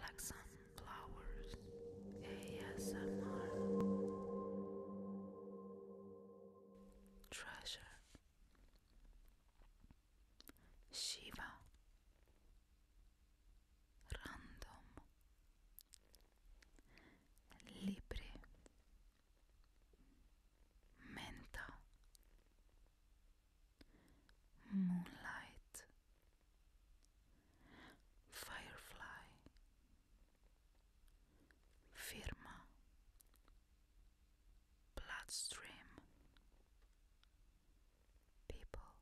Like sunflowers. ASMR. Treasure. Shiva. Random. Libri. Menta. moonlight, firefly, firma, bloodstream, people,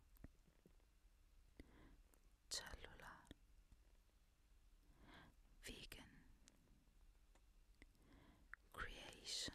cellula, vegan, creation.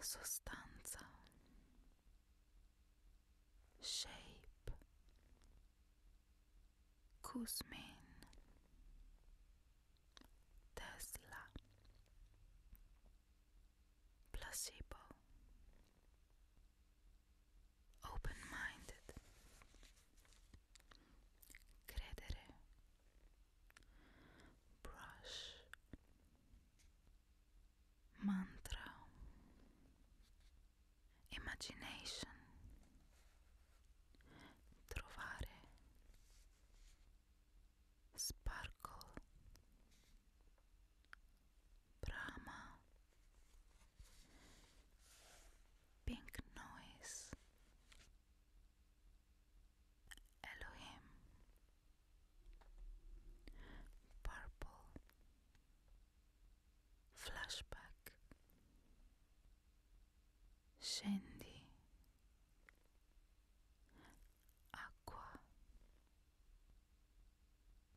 sostanza, shape, Kuzmin, Tesla, placebo, open-minded, credere, brush mantra imagination trovare sparkle brahma pink noise Elohim purple flashback Shandy Aqua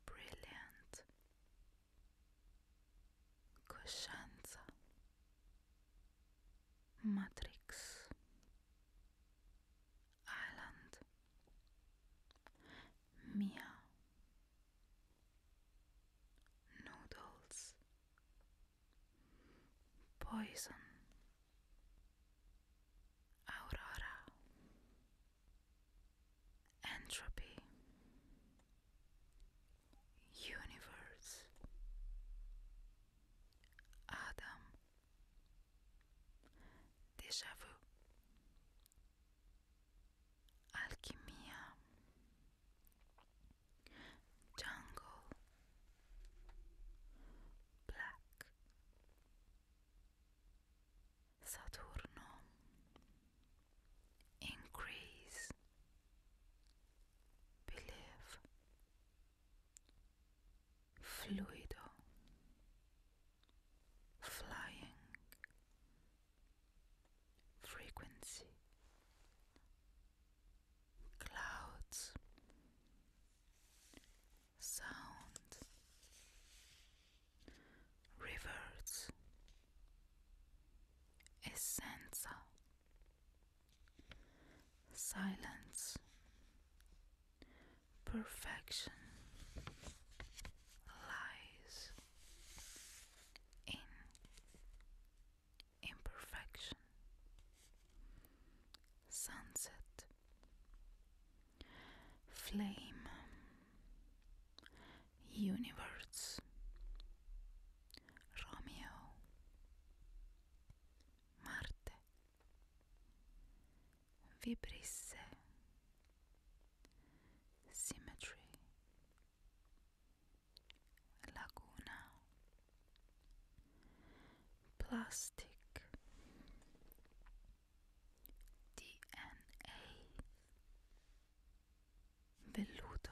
Brilliant Coscienza Matrix island. Meow. Noodles. Poison. Aurora. Entropy. Universe. Adam. Déjà Alchimia. Jungle. Black. Saturno. Increase. Believe fluido, flying, frequency, clouds, sound, rivers, essenza silence, perfection, lies in imperfection, sunset, flame, universe, Romeo. Marte. Vibrisse. Symmetry. Laguna. Plastic. Velluto.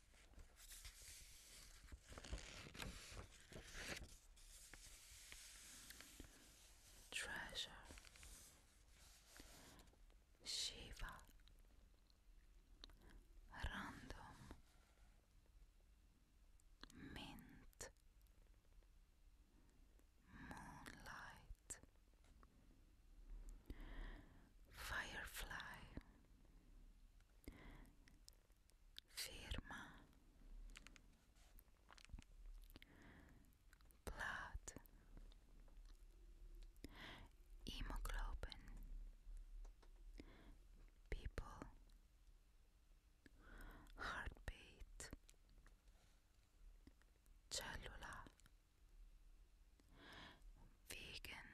Treasure Shiva Random Mint Moonlight Firefly firma blood hemoglobin people heartbeat cellula vegan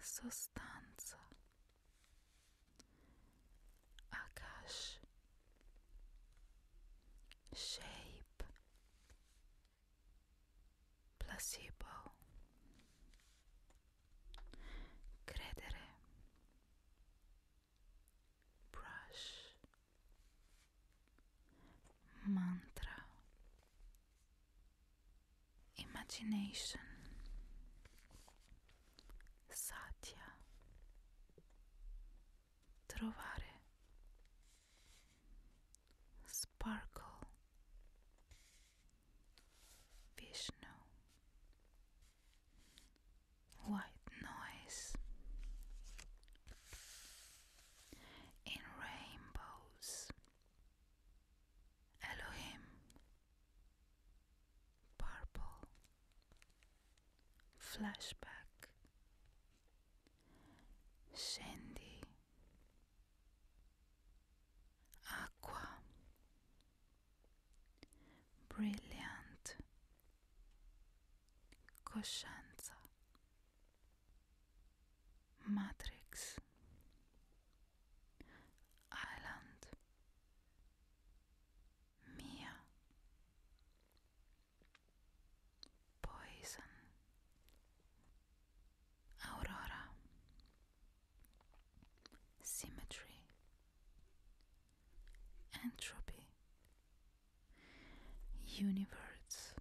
sostanza. Akash. Shape. Placebo. Credere. Brush. mantra, imagination, satya, trovare, sparkle, Vishnu, white noise in rainbows. Elohim, purple, flashback, sandy, aqua, brilliant, coscienza. Matrix Island Mia Poison Aurora Symmetry Entropy Universe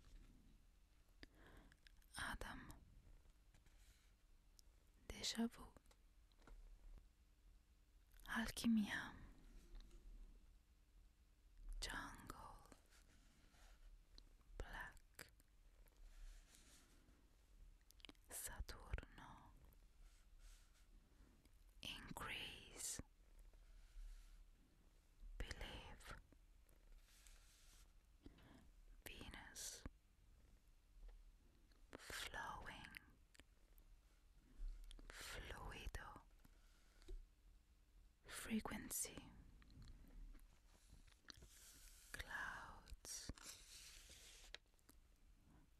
Adam Deja vu Alchimia Jungle Black Saturno Increase believe Venus flowing fluido frequency clouds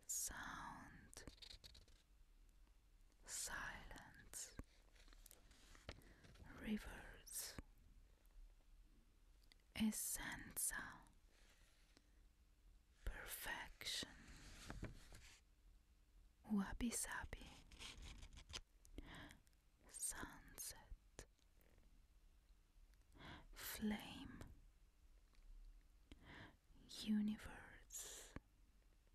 sound silence, rivers, Essence. perfection, wabi sabi, sunset, flame, universe.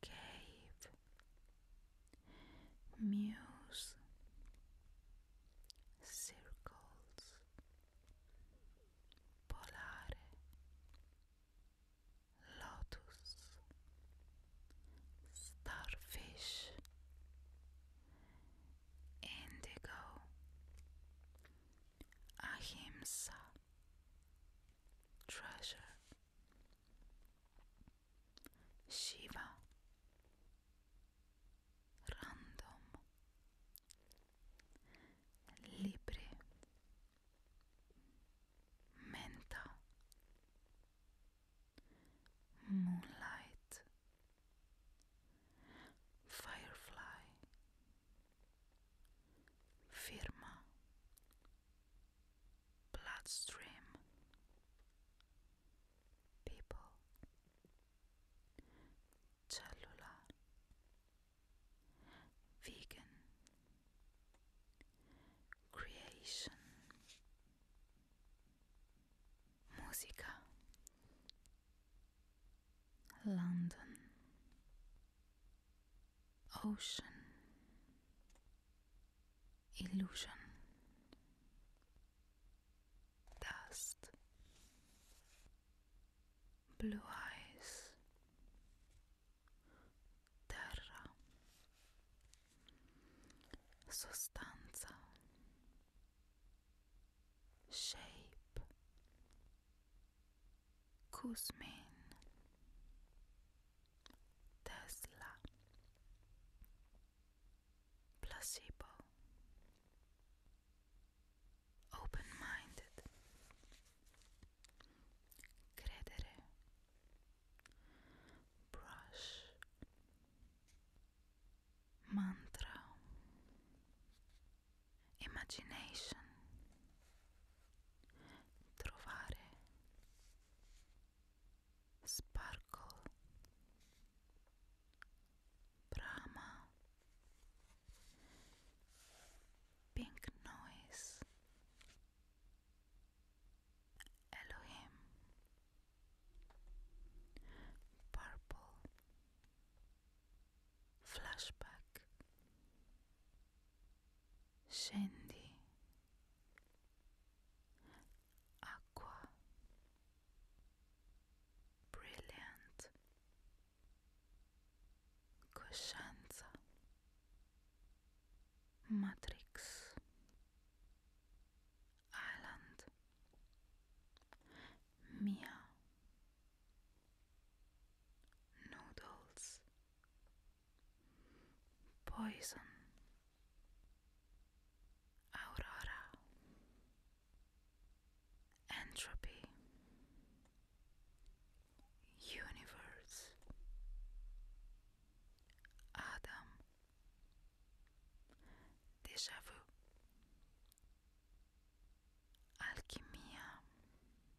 cave, muse, circles, polare, lotus, starfish, indigo, ahimsa, treasure. Shiva. Random. Libre. Menta. Moonlight. Firefly. Firma. bloodstream people cellular vegan creation musica London ocean illusion. Dust. Blue eyes. Terra. Sostanza. Shape. Kuzmin. Tesla, placebo, open-minded, credere, brush, mantra, imagination. Sparkle Brahma Pink Noise Elohim Purple Flashback scendi, acqua, brilliant, coscienza, matrix, island, mia. Noodles, Poison Aurora Entropy Universe Adam Déjà vu Alchimia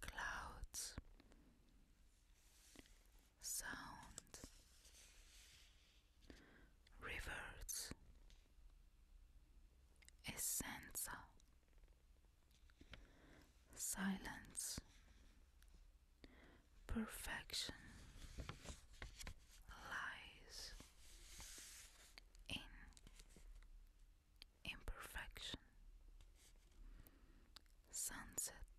clouds, sound, rivers, essenza, silence, perfection, lies in imperfection sunset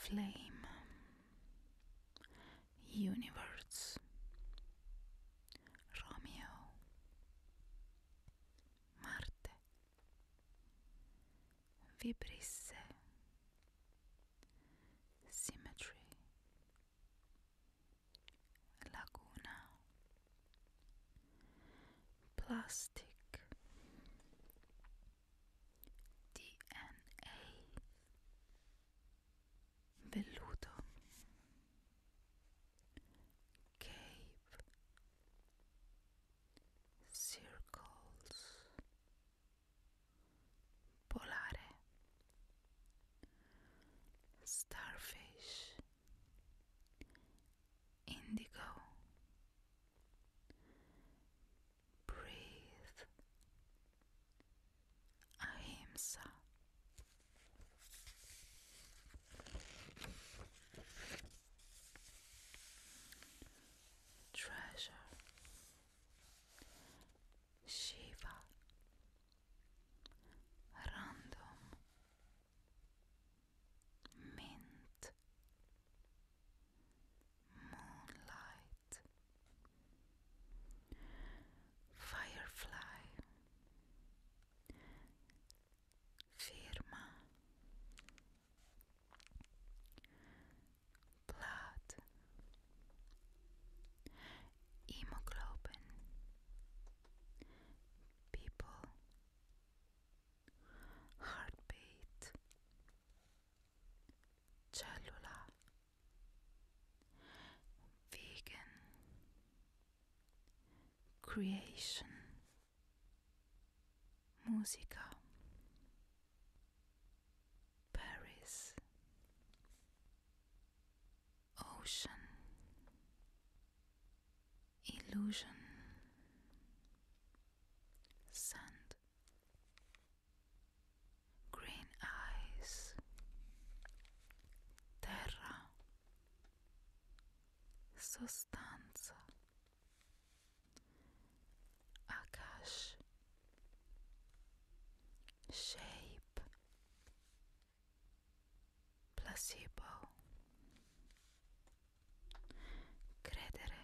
flame universe romeo marte vibrisse symmetry Laguna Plastic DNA Velluto Cave Circles Polare starfish, indigo, breathe, ahimsa. Treasure Shiva Random Mint Moonlight Firefly Firma Blood hemoglobin people heartbeat cellula vegan creation musica Paris ocean illusion sand green eyes terra sostanza akash shape placebo credere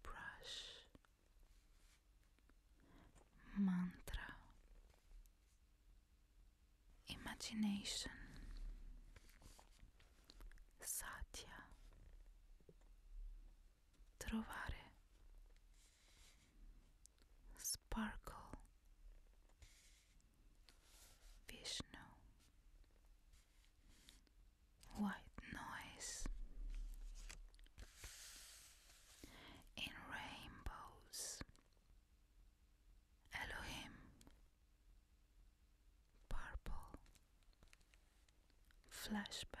brush mantra imagination satya trovare sparkle Vishnu white noise in rainbows Elohim purple flashback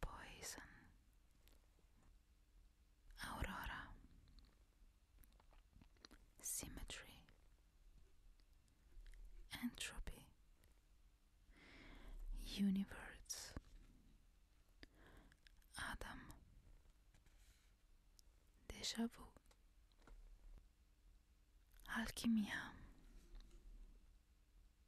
Poison Aurora Symmetry Entropy Universe Adam Déjà vu Alchimia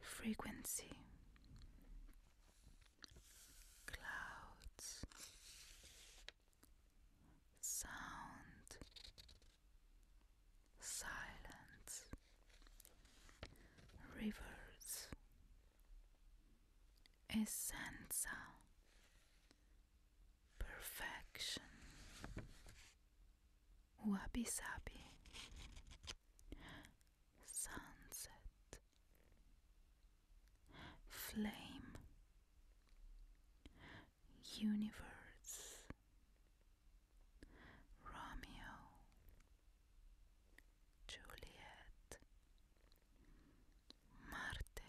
frequency, clouds, sound, silence, rivers, essenza, perfection. Wabi Sabi Sunset Flame Universe Romeo Juliet Marte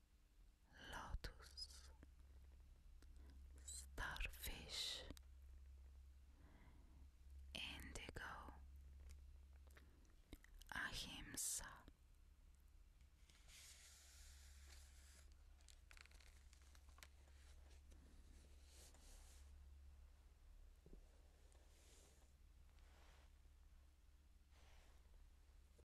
lotus, starfish, indigo, ahimsa.